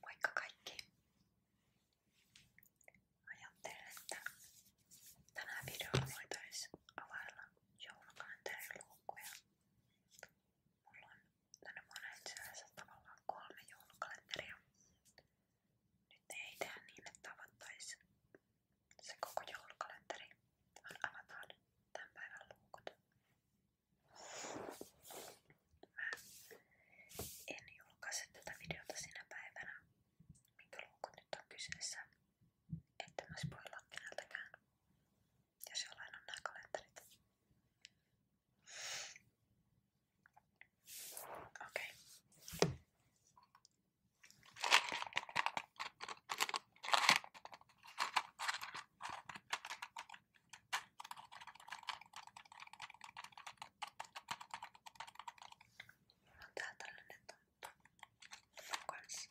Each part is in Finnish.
Moikka kaikki! Ajattelin, että tänään videolla voitaisiin availla joulukalenteriluukkuja. Mulla on tänne monen syössä tavallaan kolme joulukalenteria. Nyt ei tehdä niin, että avattaisiin se koko joulukalenteri, vaan avataan tämän päivän luukut. Mä en julkaise tätä videota sinä päivänä, minkä luukut nyt on kyseessä, että mä spoilaan keneltäkään. Jos jollain on nämä kalenterit. Okei. Okay. Mulla on tää tällainen tonttu kanssa.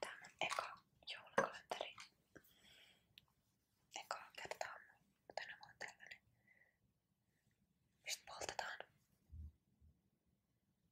Tää on eka joulukalenteri. Ekaa kertaa tänä vuonna tällainen. Mistä poltetaan?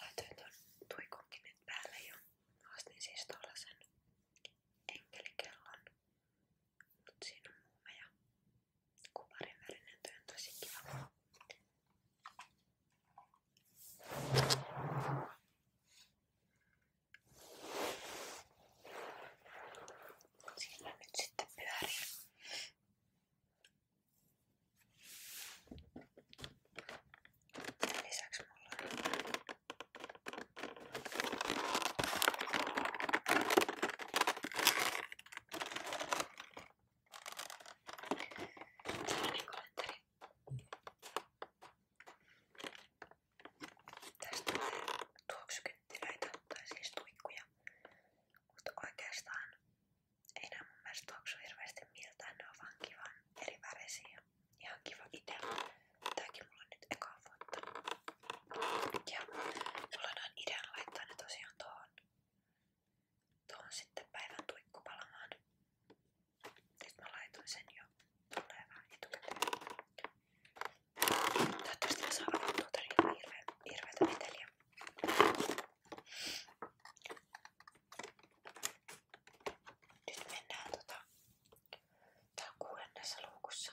Laitoin tuon tuikunkin nyt päälle jo. Ostin siis tuollaisen enkelikellon. Mut siinä on muumeja Kuparin värinen työ on tosi kiva. Siellä nyt sitten pyörii. Tämän lisäksi mulla on Tällainen kalenteri. Tästä tulee tuoksukynttilöitä, tai siis tuikkuja. Mutta oikeastaan ei nää mun mielestä tuoksu hirveästi miltään, ne on vaan kivan eri värisiä. Ihan kiva idea. Tääkin mulla on nyt ekaa vuotta. Ja mulla on idea laittaa ne tosiaan tuohon, tuohon sitten päivän tuikkupalamaan. Nyt mä laitoin sen jo tulevaan etukäteen. Toivottavasti mä saan avattua todella niin hirveä, hirveätä meteliä. Nyt mennään tota, tää on kuudennessa luukussa.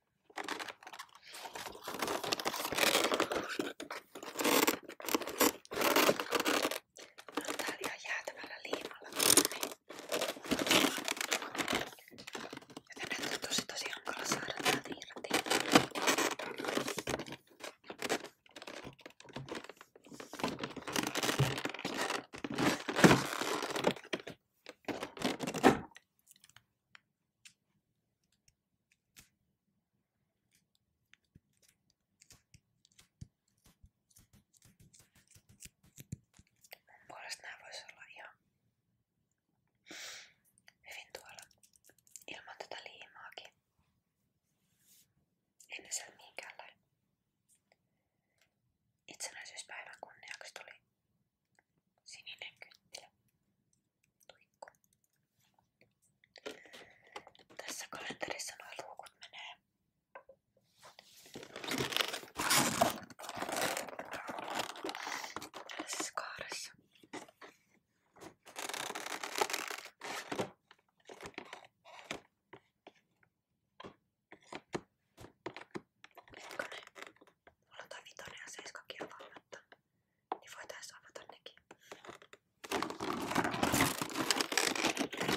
Mä oon täällä ihan jäätävällä liimalla kiinni. Joten näitä on tosi tosi hankala saada täältä irti. Mun puolesta nää vois olla ihan hyvin tuolla ilman tätä tota liimaakin. En ne siellä mihinkäänlainen itsenäisyyspäivän kunniaksi tuli Sininen kynttilä. Tuikku. Tässä kalenterissa nuo luukut menee. Tässä kaaressa. Hetkone. Mulla on toi vitonen ja seiskakin avaamatta. Niin voitais avata nekin. Tää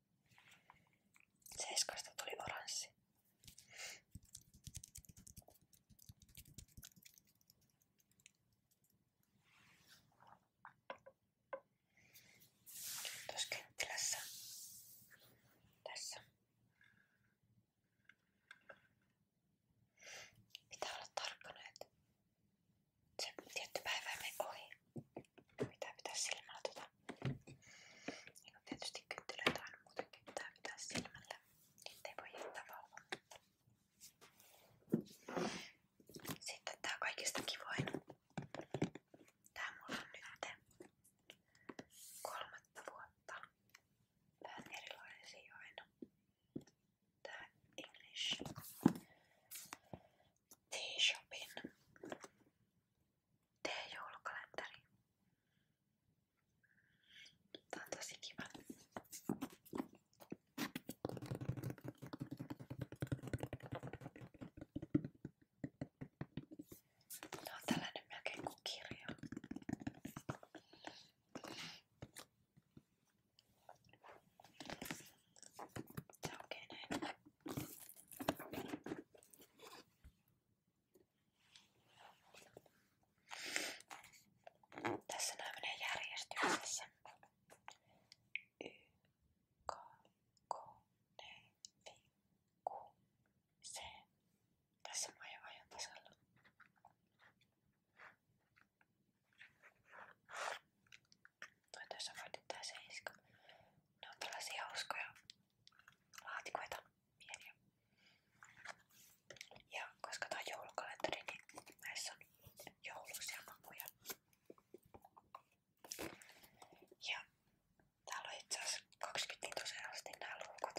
Seiskasta tuli oranssi. Tuossa kynttilässä. Tässä. Pitää olla tarkkana, että se tietty päivä meni ohi. Pitää pitää silmällä tota. Niin kun tietysti kynttilöitä on muutenkin pitää pitää silmällä. Niitä ei voi jättää valvomatta. Sitten tää kaikista kivoin. Tää mulla on nyt kolmatta vuotta. Vähän erilaisia aina. Tää English. T-Shopin T-joulukalenteri. Tää on tosi kiva. Tää on tällainen melkein kuin kirja. Se onkin näin. Tässä nämä menee järjestyksessä. Y, K, K, N, V, Q, C. Tässä mä ajan tasalla. Toi tässä voitit tää seiska. Ne on tällaisia hauskoja laatikoita, pieniä. Ja koska tää on joulukalenteri, niin näissä on jouluisia makuja. Ja täällä on itse asiassa 20 litoseen asti nämä luukut.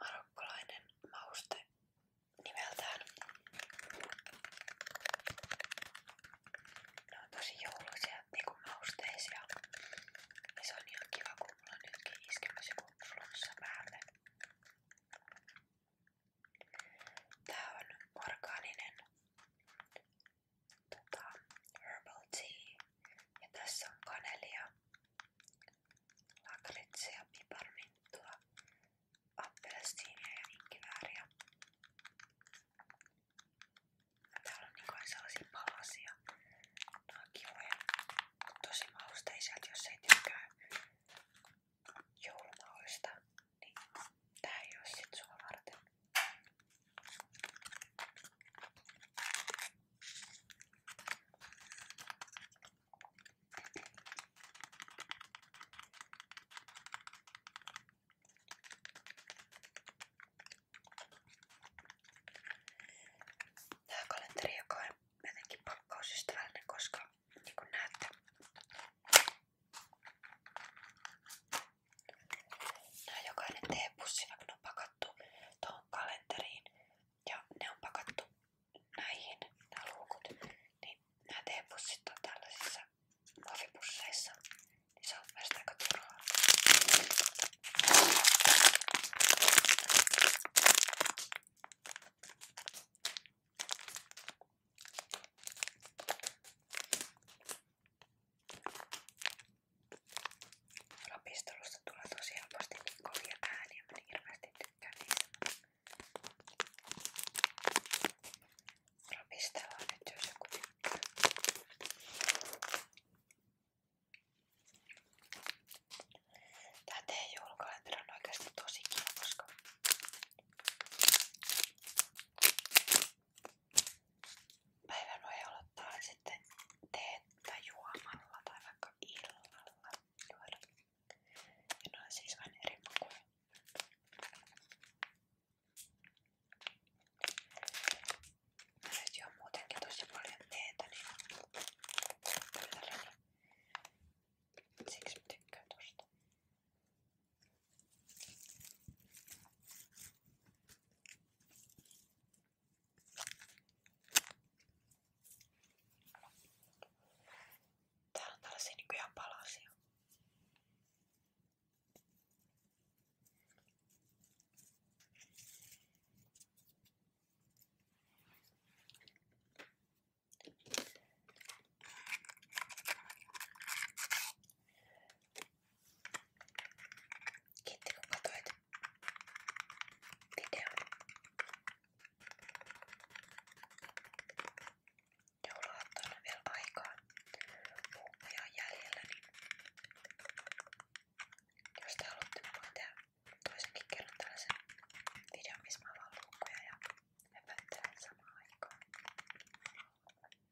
marokkolainen mauste nimeltään. Ne on tosi jouluisia niinku mausteisia. Ja se on ihan kiva, kun mulla on nytkin iskemässä joku flunssa päälle. Tää on orgaaninen tota, herbal tea. Ja tässä on kanelia, lakritsia, piparminttua, appelsiinia ja inkivääriä. Täällä on niin sellaisia palasia. Nämä on kivoja. Tosi mausteisia, että jos ei tykkää joulumauista, niin tää ei oo sit sua varten. Tää kalenteri, joka on jotenkin pakkausystävällinen, koska niin kuin näette, Nää jokainen teepussi, vaikka ne on pakattu tuohon kalenteriin, ja ne on pakattu näihin, nämä luukut. Niin nämä teepussit on tällaisissa muovipusseissa. Niin se on mielestäni aika turhaa. Rapistelusta tulee tosi helposti niin kovia ääniä, mä niin hirveästi tykkään niistä. Rapistellaan nyt, jos joku tykkää. Tää teidän joulukalenteri on oikeesti tosi kiva, koska Päivän voi aloittaa sitten teettä juomalla tai vaikka illalla juoda. Ja ne on siis vain eri makuja. Mä nyt juon muutenkin tosi paljon teetä, niin siksi mä tykkään tosta. Täällä on tällaisia nykyään niinku palasia. Kiitti kun katsoit videon. Jouluaattoon on vielä aikaa. Puukkoja on jäljellä, niin jos te haluatte, mä voin tehdä toisenkin kerran tällaisen videon, missä mä avaan luukkuja ja höpöttelen samaan aikaan.